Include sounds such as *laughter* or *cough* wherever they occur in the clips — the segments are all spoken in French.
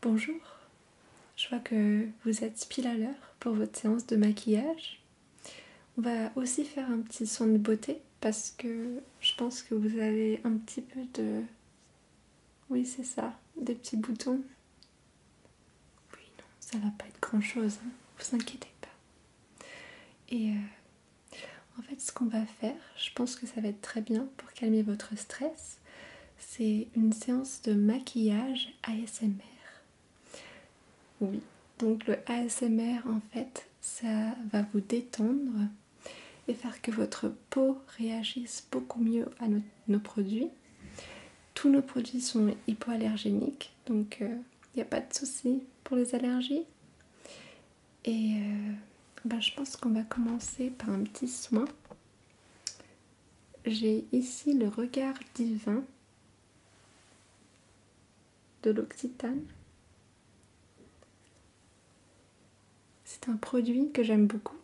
Bonjour, je vois que vous êtes pile à l'heure pour votre séance de maquillage. On va aussi faire un petit soin de beauté parce que je pense que vous avez un petit peu de... Oui c'est ça, des petits boutons. Oui non, ça va pas être grand chose, hein. vous inquiétez pas. Et euh, en fait ce qu'on va faire, je pense que ça va être très bien pour calmer votre stress c'est une séance de maquillage ASMR. Oui, donc le ASMR en fait, ça va vous détendre et faire que votre peau réagisse beaucoup mieux à nos, produits. Tous nos produits sont hypoallergéniques, donc il euh, n'y a pas de souci pour les allergies. Et euh, ben, je pense qu'on va commencer par un petit soin. J'ai ici le regard divin de l'Occitane. C'est un produit que j'aime beaucoup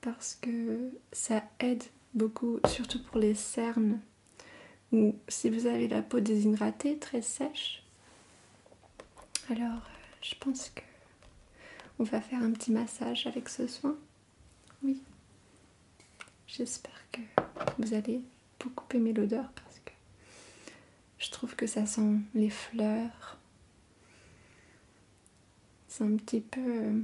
parce que ça aide beaucoup, surtout pour les cernes ou si vous avez la peau déshydratée, très sèche. Alors, je pense que on va faire un petit massage avec ce soin. Oui. J'espère que vous allez beaucoup aimer l'odeur parce que je trouve que ça sent les fleurs. C'est un petit peu...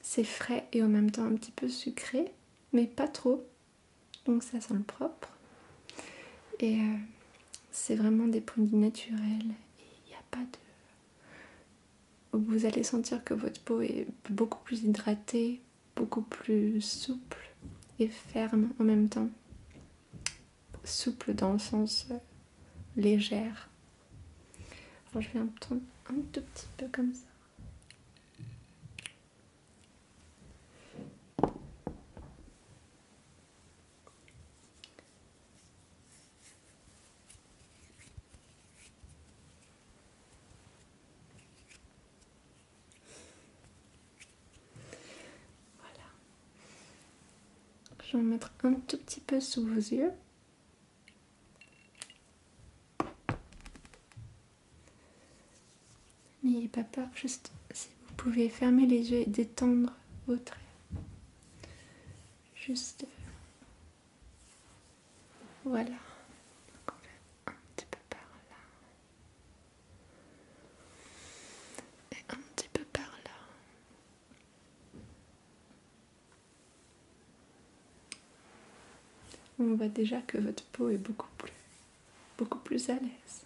C'est frais et en même temps un petit peu sucré, mais pas trop. Donc ça sent le propre. Et euh, c'est vraiment des produits naturels et il n'y a pas de. Vous allez sentir que votre peau est beaucoup plus hydratée, beaucoup plus souple et ferme en même temps. Souple dans le sens euh, légère. je vais un un tout petit peu comme ça. Voilà. Je vais mettre un tout petit peu sous vos yeux. N'ayez pas peur, juste si vous pouvez fermer les yeux et détendre vos traits. Juste. Voilà. on un petit peu par là. Et un petit peu par là. On voit déjà que votre peau est beaucoup plus beaucoup plus à l'aise.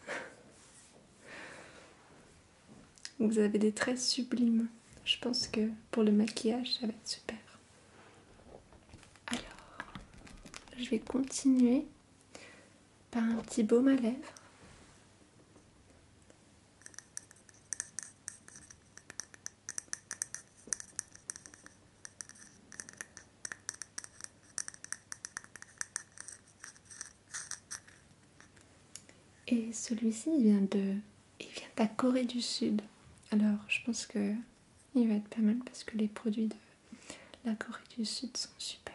Vous avez des traits sublimes. Je pense que pour le maquillage, ça va être super. Alors, je vais continuer par un petit baume à lèvres. Et celui-ci vient de. Il vient de la Corée du Sud. Alors je pense que il va être pas mal parce que les produits de la Corée du Sud sont super.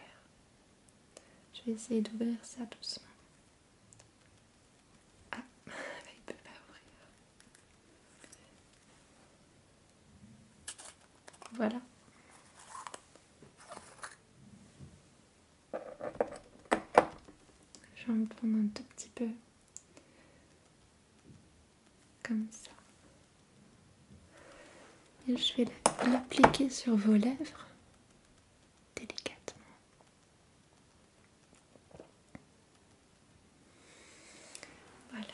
Je vais essayer d'ouvrir ça doucement. Ah, *laughs* il ne peut pas ouvrir. Voilà. Je vais en prendre un tout petit peu. Comme ça. Et je vais l'appliquer sur vos lèvres. Délicatement. Voilà.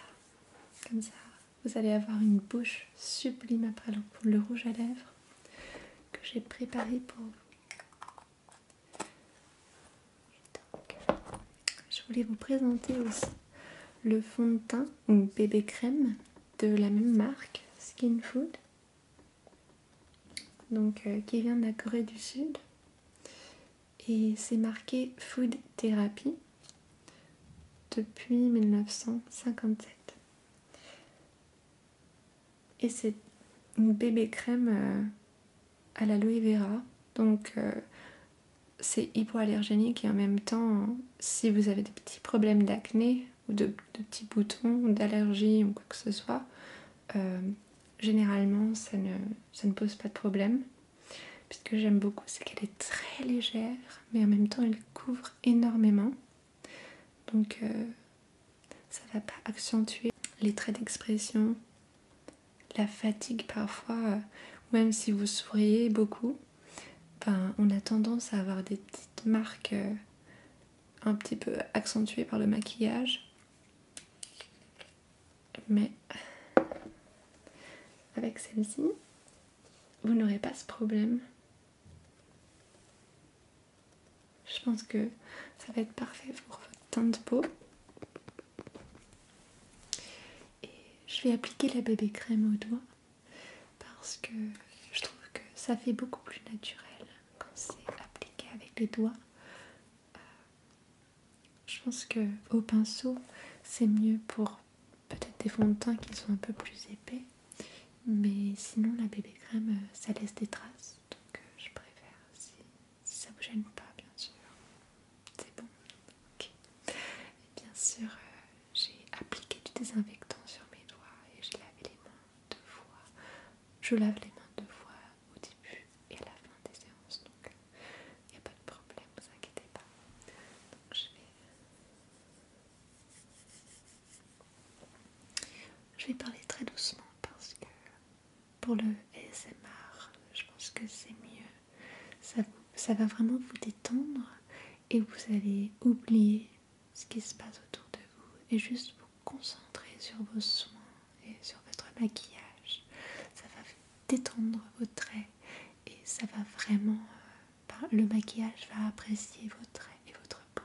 Comme ça. Vous allez avoir une bouche sublime après le, rouge à lèvres que j'ai préparé pour vous. je voulais vous présenter aussi le fond de teint ou bébé crème de la même marque Skin Food, donc euh, qui vient de la Corée du Sud et c'est marqué Food Therapy depuis 1957. Et c'est une bébé crème euh, à à l'aloe vera. Donc euh, c'est hypoallergénique et en même temps, si vous avez des petits problèmes d'acné ou de, petits boutons, d'allergie ou quoi que ce soit, euh, généralement ça ne, ça ne pose pas de problème. Puisque j'aime beaucoup, c'est qu'elle est très légère, mais en même temps elle couvre énormément. Donc euh, ça va pas accentuer les traits d'expression, la fatigue parfois, euh, même si vous souriez beaucoup, ben, on a tendance à avoir des petites marques euh, un petit peu accentuées par le maquillage. Mais avec celle-ci, vous n'aurez pas ce problème. Je pense que ça va être parfait pour votre teinte de peau. Et je vais appliquer la bébé crème au doigt parce que je trouve que ça fait beaucoup plus naturel quand c'est appliqué avec les doigts. Euh, je pense que au pinceau, c'est mieux pour peut-être des fonds de teint qui sont un peu plus épais, mais sinon la bébé crème euh, ça laisse des traces donc euh, je préfère si, ça vous gêne pas, bien sûr. C'est bon, ok. Et bien sûr, euh, j'ai appliqué du désinfectant sur mes doigts et j'ai lavé les mains deux fois. Je lave les mains deux fois au début et à la fin des séances, donc il n'y a pas de problème, vous inquiétez pas. Donc je vais je vais parler très doucement parce que pour le ASMR, je pense que c'est mieux. Ça, va vraiment vous détendre et vous allez oublier ce qui se passe autour de vous et juste vous concentrer sur vos soins et sur votre maquillage. Ça va détendre vos traits et ça va vraiment euh, le maquillage va apprécier votre traits et votre peau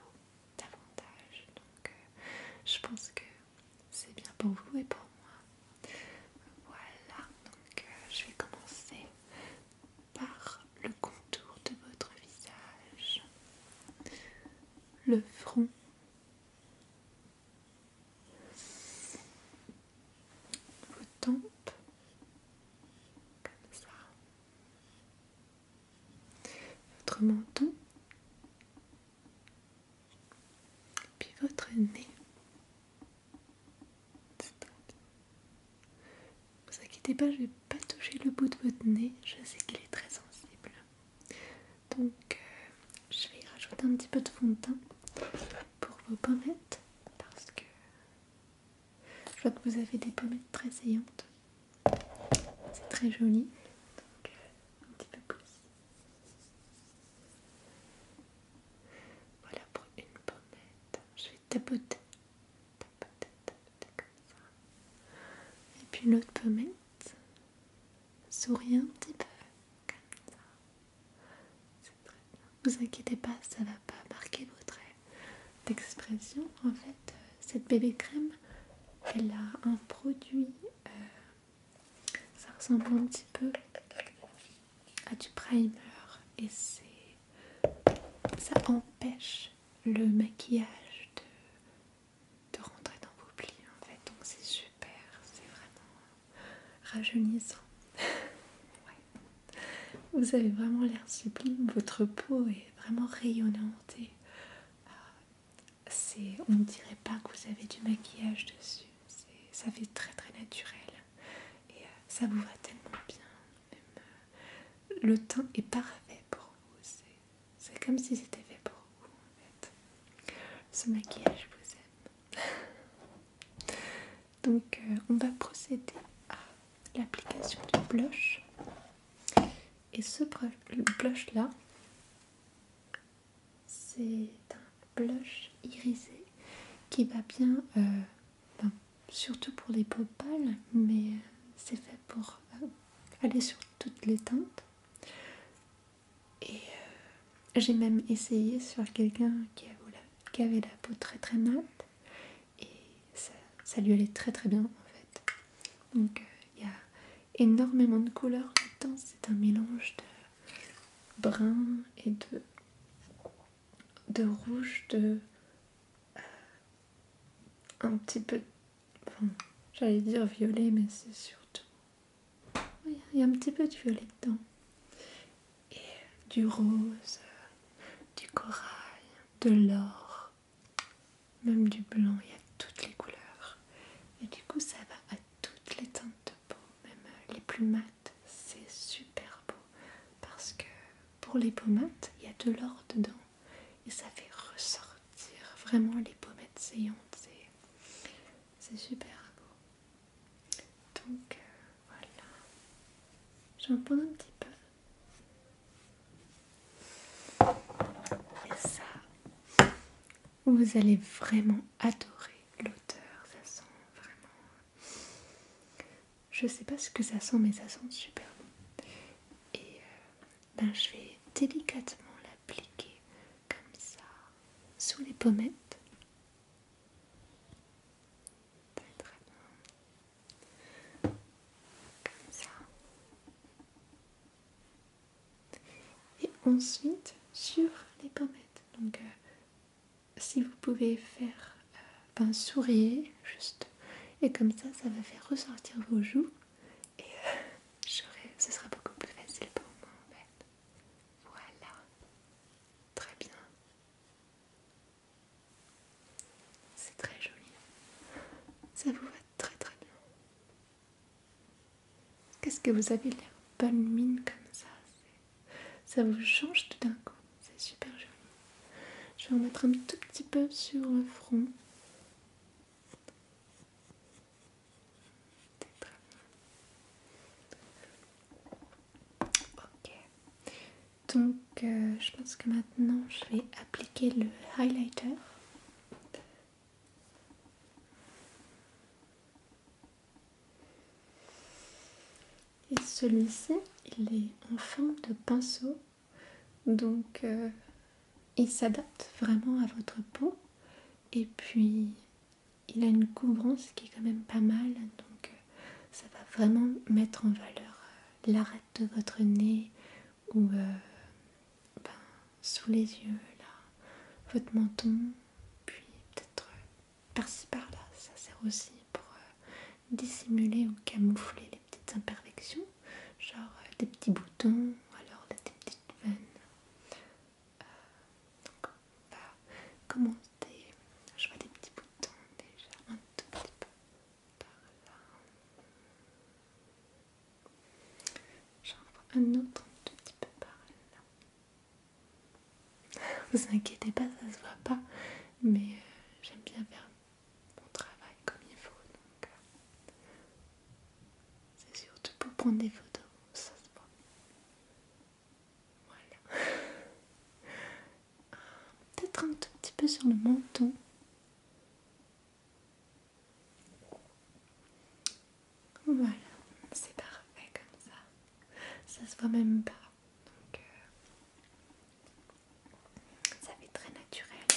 davantage. Donc euh, je pense que c'est bien pour vous et pour moi. Voilà, donc euh, je vais commencer par le contour de votre visage, le front. Vos tempes, comme ça, votre menton, puis votre nez. Ne vous inquiétez pas, je vais pas toucher le bout de votre nez, je sais qu'il est très sensible. Donc, euh, je vais rajouter un petit peu de fond de teint pour vos pommettes parce que je vois que vous avez des pommettes très saillantes. C'est très joli. Donc, euh, un petit peu plus. Voilà pour une pommette. Je vais tapoter. Tapoter, tapoter comme ça. Et puis l'autre pommette. Sourire un petit peu. Comme ça. Vous inquiétez pas, ça va pas marquer vos traits d'expression. En fait, euh, cette bébé crème, elle a un produit, euh, ça ressemble un petit peu à du primer et c'est ça empêche le maquillage de, de rentrer dans vos plis en fait donc c'est super c'est vraiment rajeunissant *laughs* Vous avez vraiment l'air sublime, votre peau est vraiment rayonnante euh, on ne dirait pas que vous avez du maquillage dessus, ça fait très très naturel et euh, ça vous va tellement bien. Euh, le teint est parfait pour vous, c'est comme si c'était fait pour vous en fait. Ce maquillage vous aime. *laughs* Donc euh, on va procéder à l'application du blush. Et ce blush là, c'est un blush irisé qui va bien, euh, ben, surtout pour les peaux pâles, mais euh, c'est fait pour aller sur toutes les teintes. Et j'ai même essayé sur quelqu'un qui a volé qui avait la peau très très mate et ça, lui allait très très bien en fait. Donc euh, il y a énormément de couleurs dedans, c'est un mélange de brun et de, de rouge, de euh, un petit peu, j'allais dire violet mais c'est surtout... Il y a un petit peu de violet dedans et du rose, du corail, de l'or, même du blanc, il y a toutes les couleurs. Et du coup ça va à toutes les teintes de peau, même euh, les plus mates, c'est super beau. Parce que pour les pommettes, il y a de l'or dedans et ça fait ressortir vraiment les pommettes saillantes. C'est super beau. Donc euh, voilà, j'en pose un petit peu. Et ça, vous allez vraiment adorer l'odeur. Ça sent vraiment. Je sais pas ce que ça sent, mais ça sent super bon. Et euh, ben, je vais délicatement l'appliquer comme ça sous les pommettes. Très bien. Comme ça. Et ensuite sur les pommettes. Donc euh, si vous pouvez faire un euh, sourire juste et comme ça ça va faire ressortir vos joues et euh, *laughs* ce sera beaucoup plus facile pour moi en fait. Voilà. Très bien. C'est très joli. Ça vous va très très bien. Qu'est-ce que vous avez l'air balmine mine comme ça Ça vous change tout d'un coup. C'est super joli. Je vais en mettre un tout petit peu sur le front. Ok. Donc, euh, je pense que maintenant, je vais appliquer le highlighter. Et celui-ci, il est en forme de pinceau. Donc, euh, il s'adapte vraiment à votre peau. Et puis, il a une couvrance qui est quand même pas mal, donc euh, ça va vraiment mettre en valeur euh, l'arête de votre nez ou euh, ben, sous les yeux, là, votre menton, puis peut-être par-ci par-là, ça sert aussi pour dissimuler ou camoufler les petites imperfections, genre des petits boutons ou alors des petites veines on va commencer. Je vois des petits boutons déjà un tout petit peu par là. J'en vois un autre un tout petit peu par là. *laughs* Vous inquiétez pas, ça se voit pas, mais euh, j'aime bien faire mon travail comme il faut. donc euh, C'est surtout pour prendre des photos, ça se voit. Voilà. Ah, peut-être un tout petit peu sur le menton. Voilà, c'est parfait comme ça. Ça se voit même pas. Donc euh, ça fait très naturel.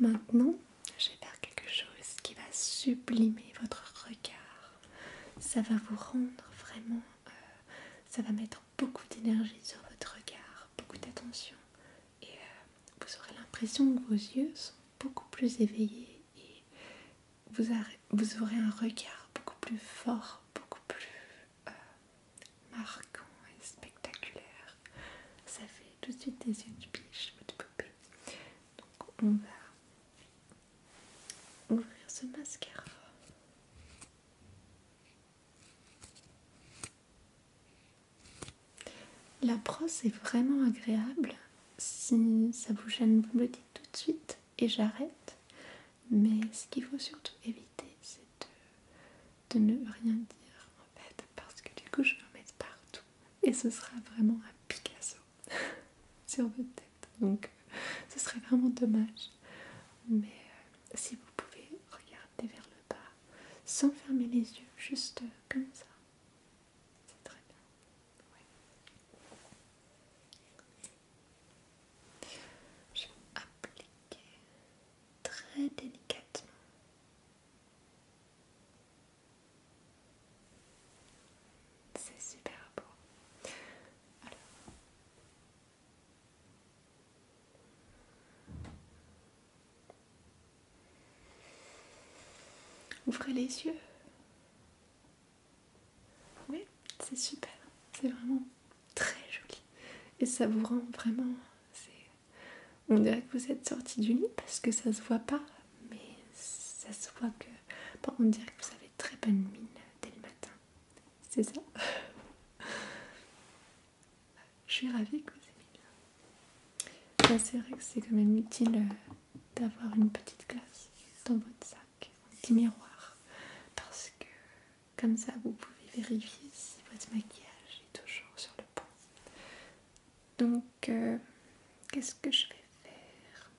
Maintenant, maintenant, je vais faire quelque chose qui va sublimer votre regard. Ça va vous rendre vraiment... Euh, ça va mettre beaucoup d'énergie sur votre regard, beaucoup d'attention. Et euh, vous aurez l'impression que vos yeux sont beaucoup plus éveillés et vous, aurez un regard beaucoup plus fort, beaucoup plus euh, marquant et spectaculaire. Ça fait tout de suite des yeux de biche, de poupée. Donc on va ouvrir ce mascara. La brosse est vraiment agréable. Si ça vous gêne, vous me le dites tout de suite et j'arrête. Mais ce qu'il faut surtout éviter, c'est de, ne rien dire en fait, parce que du coup je vais en mettre partout et ce sera vraiment un Picasso *laughs* sur votre tête. Donc euh, ce serait vraiment dommage. Mais euh, si vous pouvez regarder vers le bas sans fermer les yeux, juste comme ça, c'est très bien. Je vais appliquer très délicatement. C'est super beau. Alors. Ouvrez les yeux. Oui, c'est super. C'est vraiment très joli. Et ça vous rend vraiment... On dirait que vous êtes sorti du lit parce que ça se voit pas, mais ça se voit que. on dirait que vous avez très bonne mine dès le matin. C'est ça *laughs* Je suis ravie que vous ayez bien. Bah, c'est vrai que c'est quand même utile euh, d'avoir une petite glace dans votre sac, un petit miroir, parce que comme ça vous pouvez vérifier si votre maquillage est toujours sur le point donc euh, qu'est-ce que je vais faire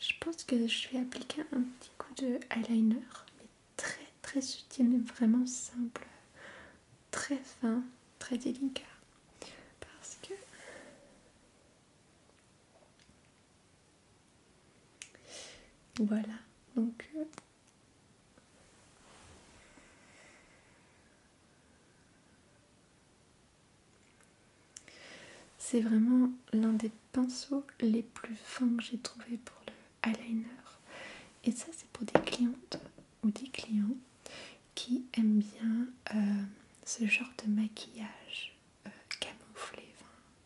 Je pense que je vais appliquer un petit coup de eyeliner, mais très très subtil, mais vraiment simple, très fin, très délicat, parce que voilà. Donc euh, c'est vraiment l'un des pinceaux les plus fins que j'ai trouvé pour le eyeliner. Et ça, c'est pour des clientes ou des clients qui aiment bien euh, ce genre de maquillage euh, camouflé,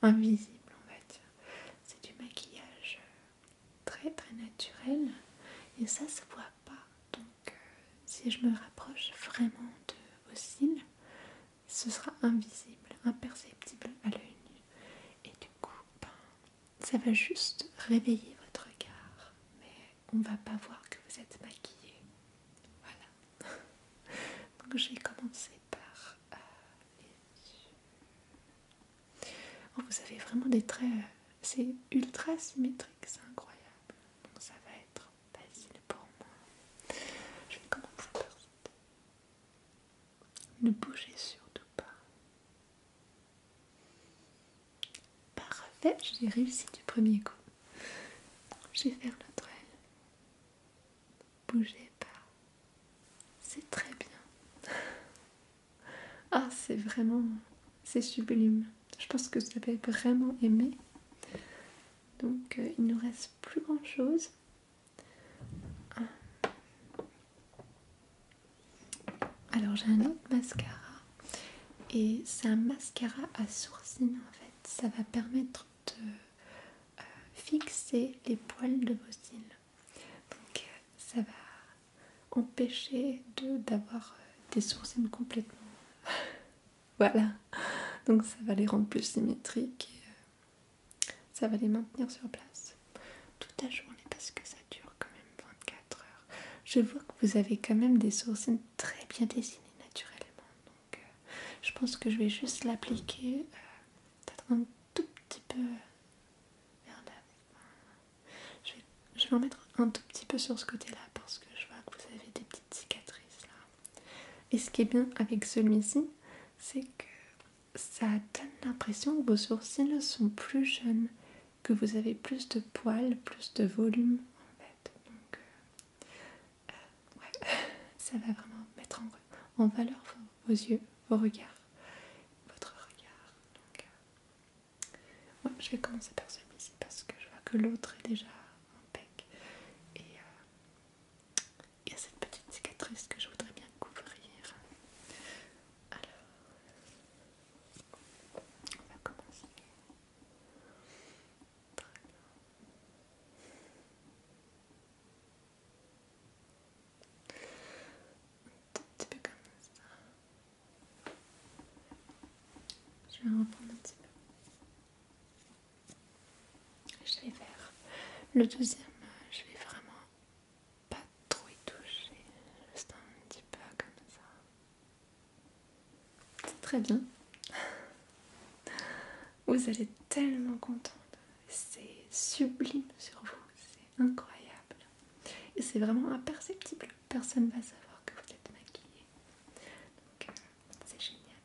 invisible on va dire. C'est du maquillage euh, très très naturel et ça se voit pas. Euh, si je me rapproche vraiment de vos cils, ce sera invisible, imperceptible à l'œil nu. Et du coup, ben, ça va juste réveiller votre regard, mais on ne va pas voir que vous êtes maquillée. Voilà. *laughs* Donc j'ai commencé par euh, les yeux. Oh, vous avez vraiment des traits c'est ultra symétrique, c'est incroyable. Donc ça va être facile pour moi. Je vais commencer par cette. Ne bougez surtout pas. Parfait, j'ai réussi du premier coup. Je vais faire l'autre aile. Bougez pas. C'est très bien. Ah, c'est vraiment. C'est sublime. Je pense que vous avez vraiment aimé. Donc, euh, il ne nous reste plus grand chose. Alors, j'ai un autre mascara. Et c'est un mascara à sourcine en fait. Ça va permettre de euh, fixer les poils de vos cils. Donc, euh, ça va empêcher de d'avoir euh, des sourcils complètement *laughs* voilà donc ça va les rendre plus symétriques et euh, ça va les maintenir sur place toute la journée parce que ça dure quand même 24 heures je vois que vous avez quand même des sourcils très bien dessinées naturellement donc euh, je pense que je vais juste l'appliquer peut-être un tout petit peu je vais, en mettre un tout petit peu sur ce côté-là parce que je vois que vous avez des petites cicatrices là. Et ce qui est bien avec celui-ci, c'est que ça donne l'impression que vos sourcils sont plus jeunes, que vous avez plus de poils, plus de volume en fait. Donc, euh, euh, ouais, *laughs* ça va vraiment mettre en, valeur vos, yeux, vos regards, votre regard. Euh, je vais commencer par celui-ci parce que je vois que l'autre est déjà en pec. Et euh, il y a cette petite cicatrice que je voudrais bien couvrir. Alors, on va commencer. Très bien. Un petit peu comme ça. Je vais en reprendre un petit peu. Je vais faire le deuxième, je vais vraiment pas trop y toucher, juste un petit peu comme ça. C'est très bien. Vous allez tellement contente, c'est sublime sur vous, incroyable. Et c'est vraiment imperceptible, personne va savoir que vous êtes maquillée. Donc euh, c'est génial.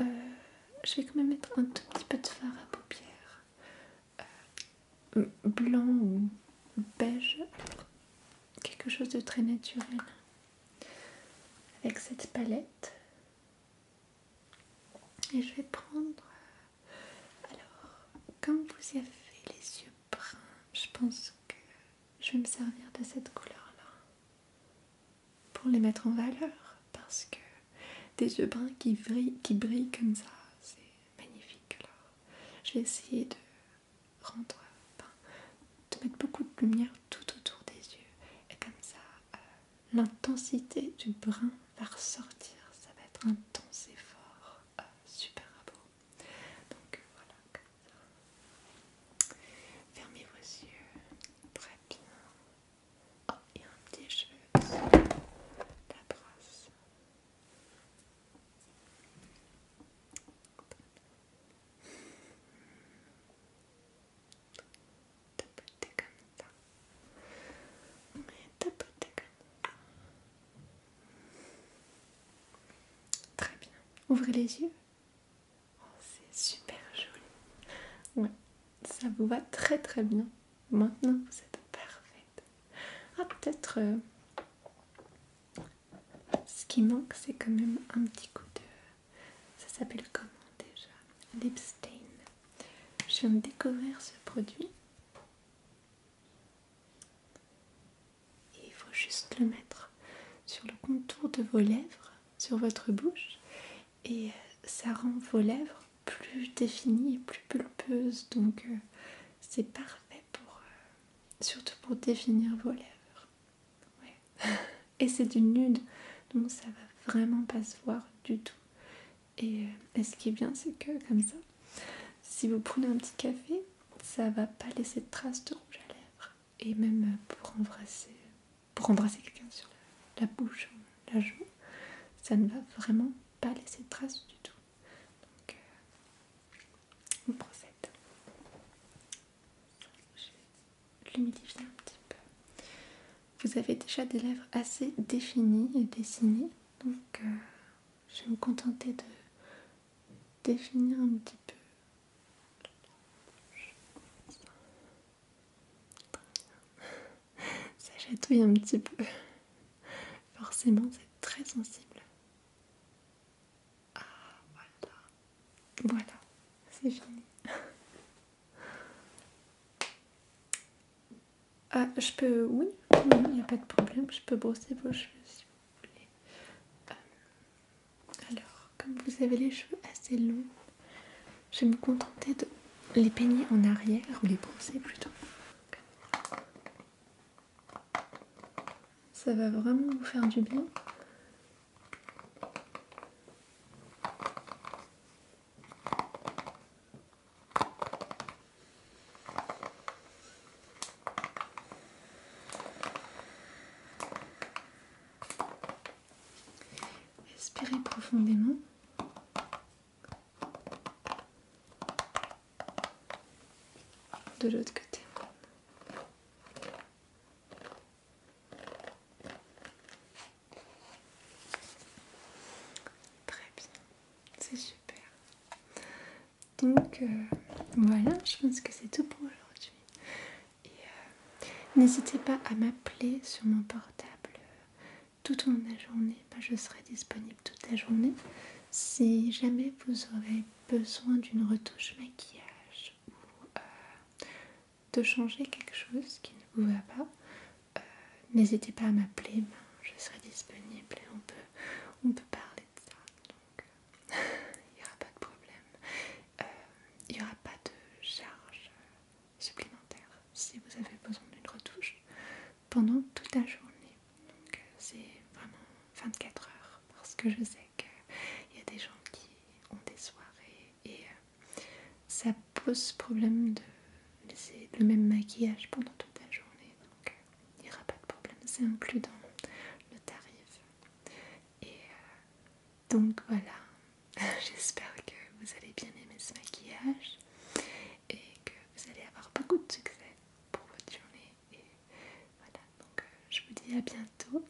Euh, je vais quand même mettre un tout petit peu de fard à paupières. Euh, blanc ou beige. Quelque chose de très naturel. Avec cette palette. Et je vais prendre alors, comme vous avez les yeux bruns, je pense que je vais me servir de cette couleur-là pour les mettre en valeur parce que des yeux bruns qui brillent, comme ça, c'est magnifique. Alors, je vais essayer de rendre, de mettre beaucoup de lumière tout autour des yeux et comme ça, euh, l'intensité du brun va ressortir. Ça va être intense et fort. Ah, super beau. Donc euh, voilà, comme ça. Fermez vos yeux, très bien. Oh, il y a un petit cheveu sur la brosse. Tapoter comme ça. Mais tapoter comme ça. Très bien. Ouvrez les yeux. Oh, c'est super joli. Ouais, ça vous va très très bien. Maintenant, vous êtes parfaite. Ah, peut-être euh, ce qui manque, c'est quand même un petit coup de. Ça s'appelle comment déjà Stain, Je viens de découvrir ce produit. Et il faut juste le mettre sur le contour de vos lèvres, sur votre bouche, et euh, ça rend vos lèvres plus définies et plus pulpeuses. Donc euh, c'est parfait pour euh, surtout pour définir vos lèvres. *laughs* Et c'est du nude, donc ça va vraiment pas se voir du tout. Euh, et, ce qui est bien, c'est que comme ça, si vous prenez un petit café, ça va pas laisser de traces de rouge à lèvres. Et même euh, pour embrasser, pour embrasser quelqu'un sur la, bouche la joue, ça ne va vraiment pas laisser de traces du tout. Donc, euh, on procède. Je l'humidifier un petit peu. Vous avez déjà des lèvres assez définies et dessinées, donc je vais me contenter de définir un petit peu. Ça chatouille un petit peu. Forcément, c'est très sensible. Ah, voilà. Voilà, c'est fini. Ah, je peux. Oui, il n'y a pas de problème, je peux brosser vos cheveux si vous voulez. Euh, alors, comme vous avez les cheveux assez longs, je vais me contenter de les peigner en arrière, ou les brosser plutôt. Ça va vraiment vous faire du bien. Respirez profondément. De l'autre côté. Très bien, c'est sûr. Donc euh, voilà, je pense que c'est tout pour aujourd'hui. Et euh, n'hésitez pas à m'appeler sur mon portable euh, toute la journée. je serai disponible toute la journée. Si jamais vous aurez besoin d'une retouche maquillage ou de changer quelque chose qui ne vous va pas, euh, n'hésitez pas à m'appeler, ben, je serai disponible et on peut, on peut parler de ça. Donc euh, *laughs* il n'y aura pas de problème. Euh, il n'y aura pas de charge supplémentaire si vous avez besoin d'une retouche pendant toute la journée. Donc c'est vraiment 24 heures parce que je sais qu'il y a des gens qui ont des soirées et ça pose problème de c'est le même maquillage pendant toute la journée. Donc euh, il n'y aura pas de problème, c'est inclus dans le tarif. Et euh, donc voilà, *laughs* j'espère que vous allez bien aimer ce maquillage et que vous allez avoir beaucoup de succès pour votre journée. Et voilà, donc euh, je vous dis à bientôt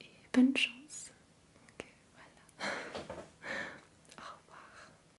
et bonne chance. Donc voilà, *laughs* au revoir.